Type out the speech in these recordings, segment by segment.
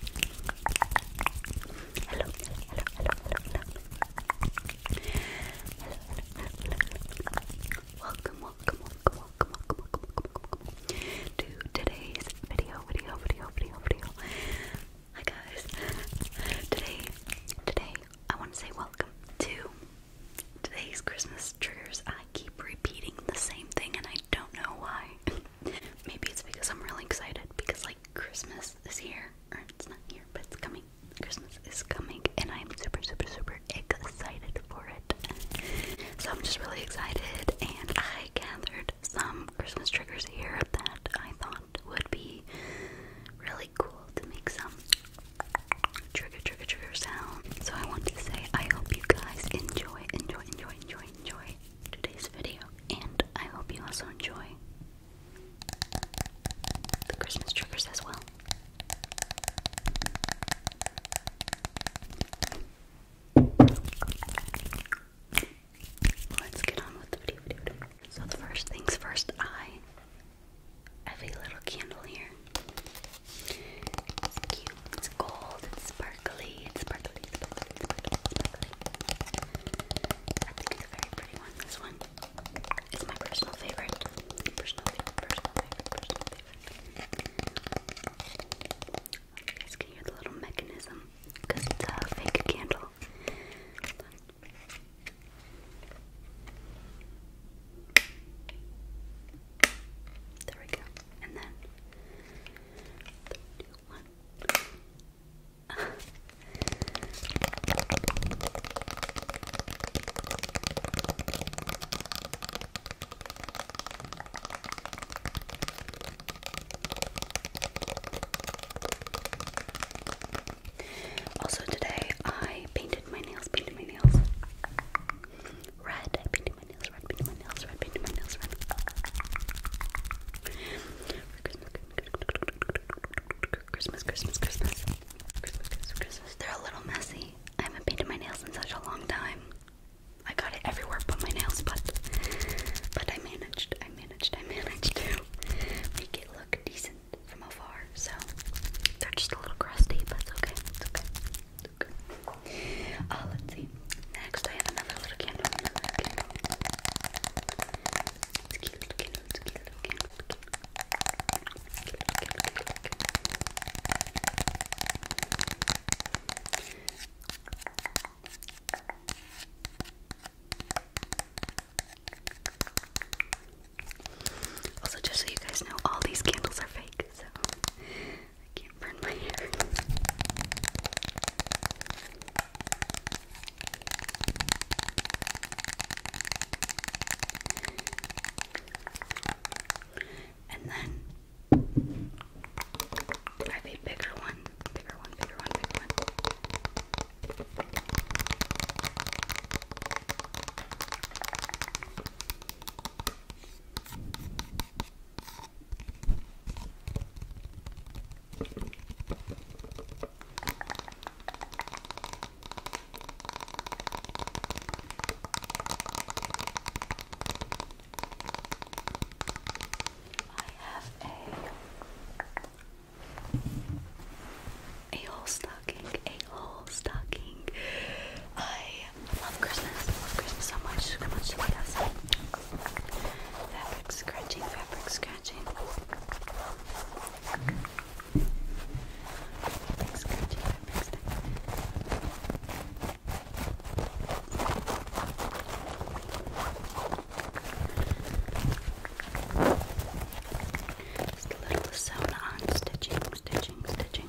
hello, hello, hello, hello, hello. Welcome, welcome, welcome, welcome, welcome, welcome, welcome, welcome to today's video, video, video, video, video. Hi guys. Today, today, I want to say welcome to today's Christmas triggers. I keep repeating the same thing and I don't know why. Maybe it's because I'm really excited because like Christmas is here. Or it's not here, but it's coming. Christmas is coming and I'm super super super excited for it. So I'm just really excited and I gathered some Christmas triggers here that I thought would be really cool to make some trigger trigger trigger sound. So I want to say I hope you guys enjoy, enjoy, enjoy, enjoy, enjoy today's video, and I hope you also enjoy the Christmas triggers as well. Let's get on with the video. So the first things first, I have a little candle here. It's gold, it's sparkly, it's sparkly, it's sparkly, it's sparkly, sparkly. I think it's a very pretty one. This one is my personal favorite. Personal favorite, personal favorite, personal favorite. You guys can hear the little mechanism because it's a fake candle. There we go. And then also today I painted my nails, painted my nails red, paint my nails, red paint my nails, red paint my nails, red Christmas. Christmas, Christmas, Christmas. They're a little messy. I haven't painted my nails in such a long time. I got it everywhere but my nails, but but I managed, I managed, I managed to make it look decent from afar. So they're just a little crusty, but it's okay, it's okay. Look. Uh, let's see. Next, I have another little candle. little candle. Also, just so you guys know, all these candles are fake, so I can't burn my hair. And then I have a bigger one, bigger one, bigger one, bigger one. I have a a whole stocking, a whole stocking. I I love Christmas. I love Christmas so much. So much yes. Fabric scratching, fabric scratching. Fabric scratching, fabric scratching. Just stitching, stitching, stitching.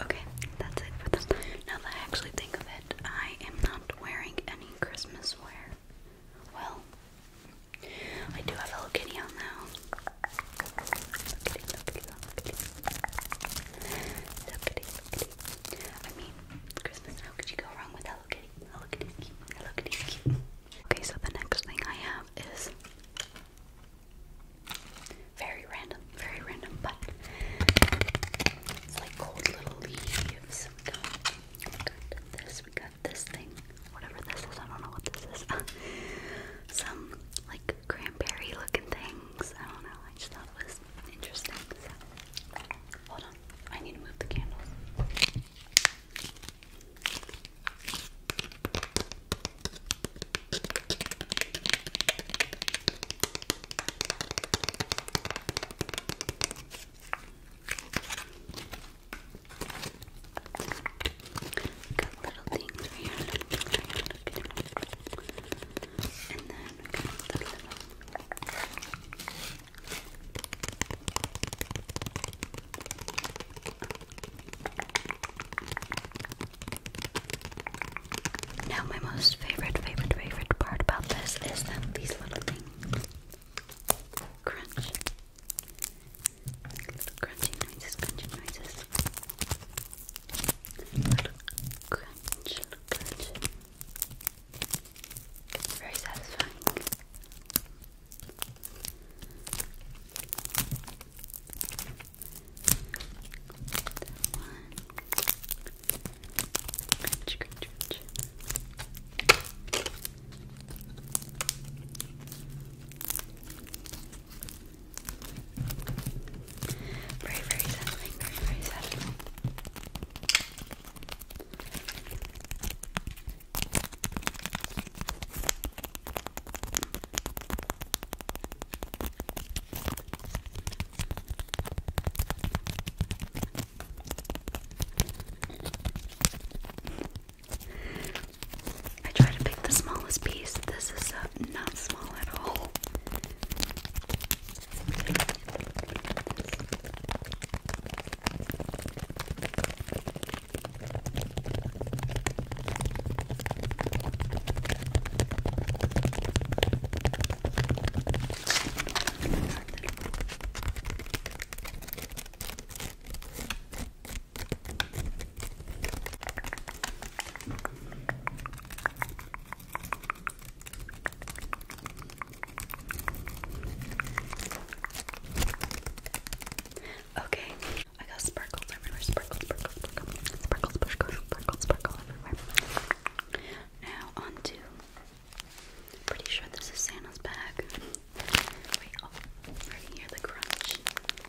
Okay, that's it for this. Now that I actually think of it, I am not wearing any Christmas wear. Well, I do have Hello Kitty on now. I mean, Christmas, how could you go wrong with Hello Kitty? Hello Kitty's cute. Hello Okay, so the next thing I have is very random, very random, but it's like cold little leaves. We got, got this, we got this thing, whatever this is, I don't know what this is. Some like cranberry looking things. I don't know, I just thought it is interesting. hold on, I need to move the candles. Got little things here. And then Now, my most favorite, favorite, favorite part about this is that these little things crunch. crunchy noises, crunchy noises sponge. Look good. It's very satisfying. That one. Crunch, crunch, crunch. Very, very settling, very, very settling. I try to pick the smallest piece. This is a small at all. Okay, I got sparkles everywhere. Sparkles, sparkles, sparkles, sparkles, sparkles, sparkles, sparkle everywhere. Now on to. Pretty sure this is Santa's bag. Wait, oh, right here, the crunch.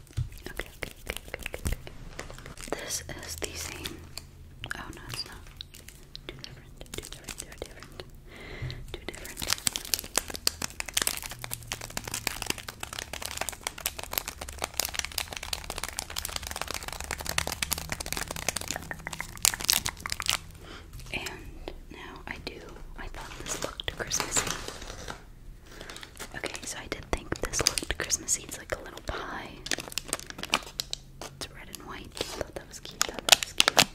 Okay, okay, okay, okay, okay. This is the same. Oh no, it's not. Two different, two different, two different, two different. And now I do. I thought this looked Christmassy. Okay, so I did think this looked Christmassy. It's like a little pie. It's red and white. I thought that was cute. that was cute.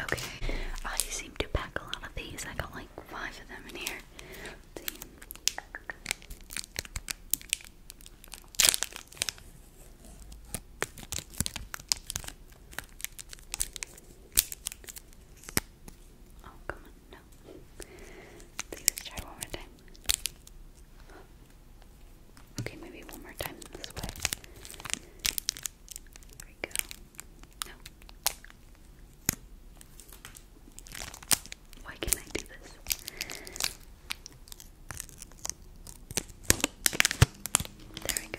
Okay, I seem to pack a lot of these. I got like five of them in here. Oh, come on, no. Let's try one more time. Okay, maybe one more time this way. There we go. No. Why can I do this? There we go.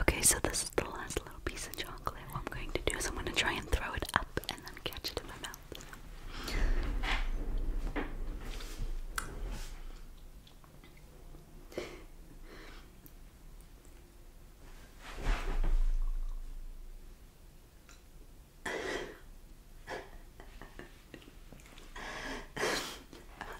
Okay, so this is the last little piece of chocolate. What I'm going to do is I'm going to try and throw it up and then catch it in my mouth.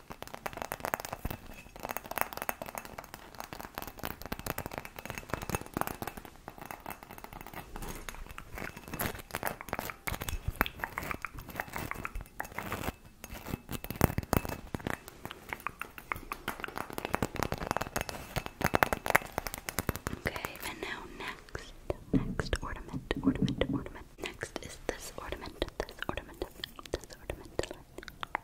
Okay, and now next, next ornament, ornament, ornament. Next is this ornament, this ornament, this ornament.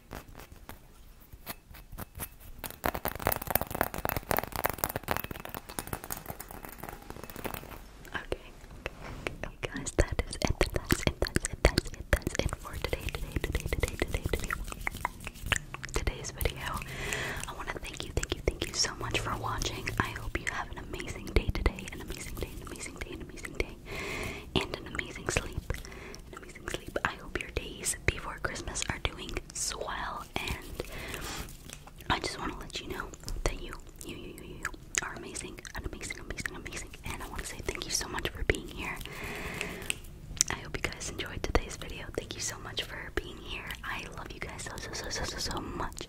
Okay, okay, guys, that is it. That's it. That's it. That's it. That's it for today. Today. Today. Today. Today. Today. Today's video. I want to thank you, thank you, thank you so much for watching. I hope you have an amazing day today, an amazing day, an amazing day, an amazing day day and an amazing sleep. An amazing sleep. I hope your days before Christmas are doing swell and I just want to let you know that you, you, you, you, you are amazing, and amazing, amazing, amazing. And I want to say thank you so much for being here. I hope you guys enjoyed today's video. Thank you so much for being here. I love you guys so, so, so, so, so, so much.